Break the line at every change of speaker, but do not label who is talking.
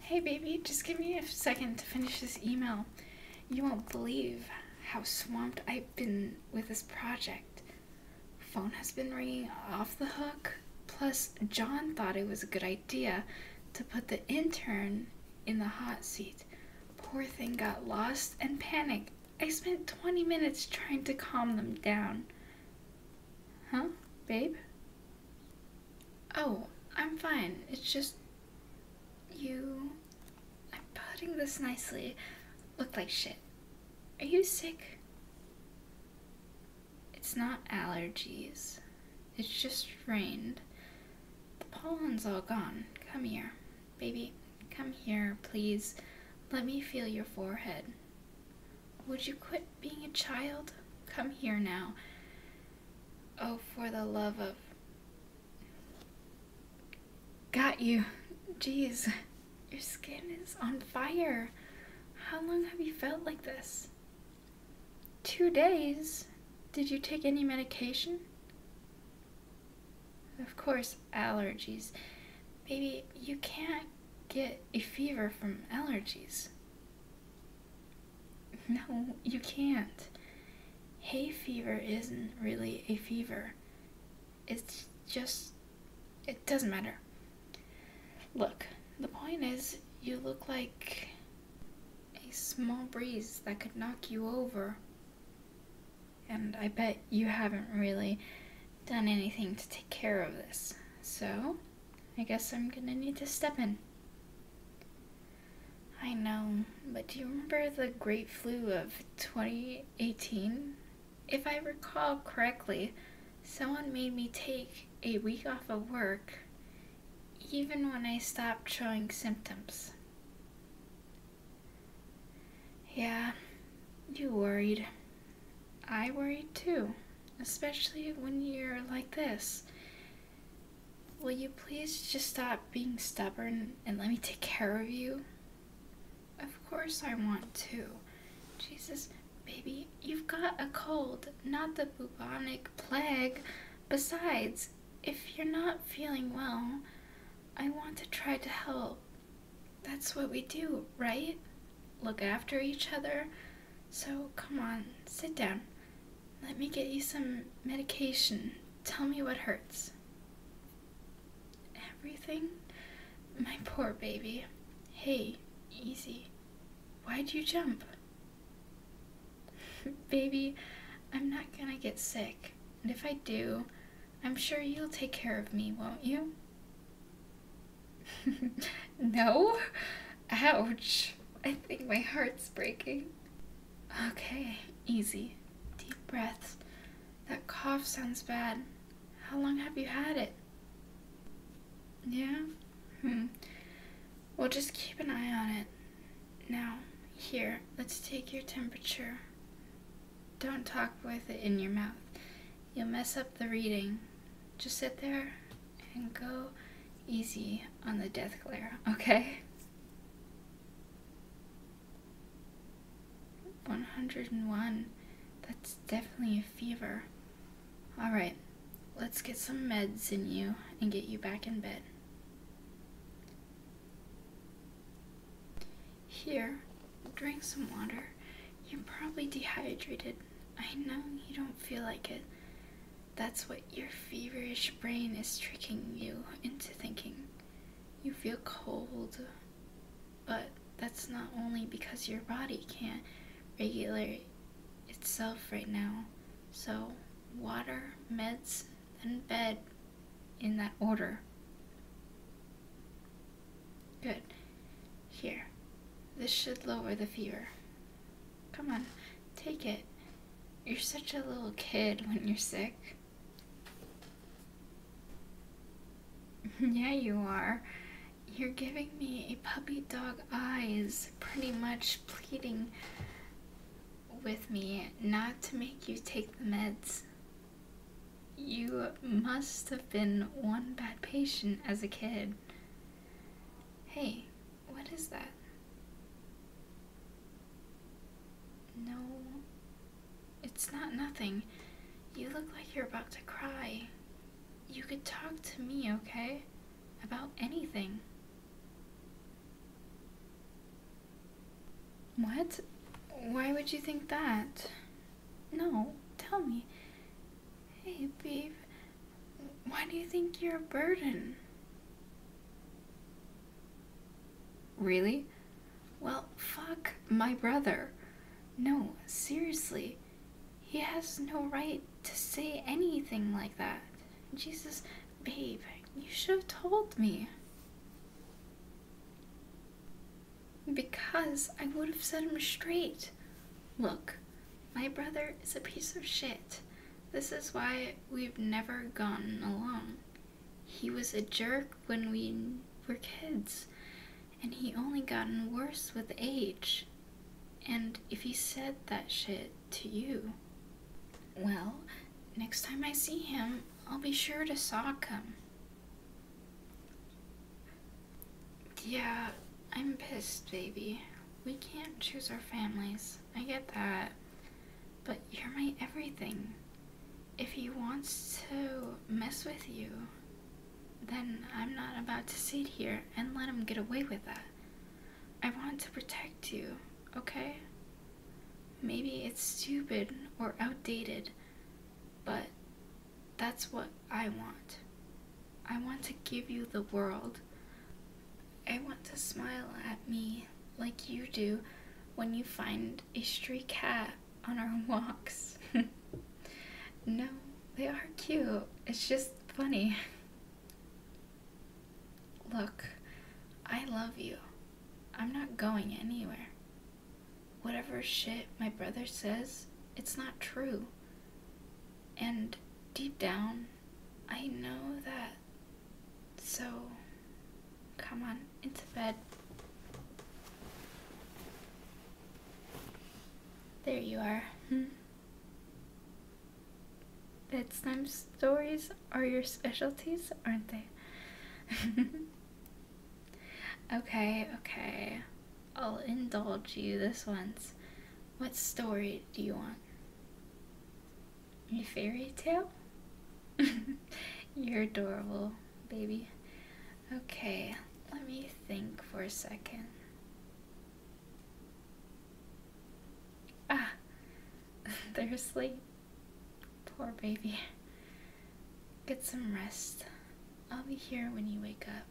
Hey baby, just give me a second to finish this email. You won't believe how swamped I've been with this project. Phone has been ringing off the hook. Plus, John thought it was a good idea to put the intern in the hot seat. Poor thing got lost and panicked. I spent 20 minutes trying to calm them down. Huh? Babe? Oh, I'm fine. It's just. You. I'm putting this nicely. Look like shit. Are you sick? It's not allergies. It's just rained. The pollen's all gone. Come here. Baby, come here, please. Let me feel your forehead. Would you quit being a child? Come here now. Oh, for the love of. Got you. Jeez, your skin is on fire. How long have you felt like this? Two days? Did you take any medication? Of course, allergies. Maybe you can't get a fever from allergies. No, you can't. Hay fever isn't really a fever. It's just. It doesn't matter. Look, the point is, you look like a small breeze that could knock you over. And I bet you haven't really done anything to take care of this. So, I guess I'm gonna need to step in. I know, but do you remember the great flu of 2018? If I recall correctly, someone made me take a week off of work even when I stopped showing symptoms. Yeah, you worried. I worried too, especially when you're like this. Will you please just stop being stubborn and let me take care of you? Of course I want to. Jesus, baby, you've got a cold, not the bubonic plague. Besides, if you're not feeling well, I want to try to help. That's what we do, right? Look after each other. So come on, sit down. Let me get you some medication. Tell me what hurts. Everything? My poor baby. Hey, easy. Why'd you jump? Baby, I'm not gonna get sick, and if I do, I'm sure you'll take care of me, won't you? no? Ouch. I think my heart's breaking. Okay, easy. Deep breaths. That cough sounds bad. How long have you had it? Yeah? Hmm. We'll just keep an eye on it. Now, here, let's take your temperature. Don't talk with it in your mouth. You'll mess up the reading. Just sit there and go easy on the death glare, okay? 101. That's definitely a fever. Alright, let's get some meds in you and get you back in bed. Here, drink some water. You're probably dehydrated. I know you don't feel like it. That's what your feverish brain is tricking you into thinking. You feel cold, but that's not only because your body can't regulate itself right now. So, water, meds, then bed in that order. Good. Here. This should lower the fever. Come on, take it. You're such a little kid when you're sick. yeah, you are. You're giving me a puppy dog eyes, pretty much pleading with me not to make you take the meds. You must have been one bad patient as a kid. Hey, what is that? No it's not nothing. You look like you're about to cry. You could talk to me, okay? About anything. What? Why would you think that? No, tell me. Hey, babe, why do you think you're a burden? Really? Well, fuck my brother. No, seriously. He has no right to say anything like that. Jesus, babe, you should have told me. Because I would have set him straight. Look, my brother is a piece of shit. This is why we've never gotten along. He was a jerk when we were kids, and he only gotten worse with age. And if he said that shit to you, well, next time I see him, I'll be sure to sock him. Yeah, I'm pissed, baby. We can't choose our families. I get that. But you're my everything. If he wants to mess with you, then I'm not about to sit here and let him get away with that. I want to protect you, okay? Maybe it's stupid or outdated, but that's what I want. I want to give you the world. I want to smile at me like you do when you find a stray cat on our walks. no, they are cute. It's just funny. Look, I love you. I'm not going anywhere. Whatever shit my brother says, it's not true. And deep down, I know that so, come on, into bed. There you are. Hmm. Bedtime stories are your specialties, aren't they? okay, okay. I'll indulge you this once. What story do you want? A fairy tale? You're adorable, baby. Okay, let me think for a second. Ah, they're asleep. Poor baby. Get some rest. I'll be here when you wake up.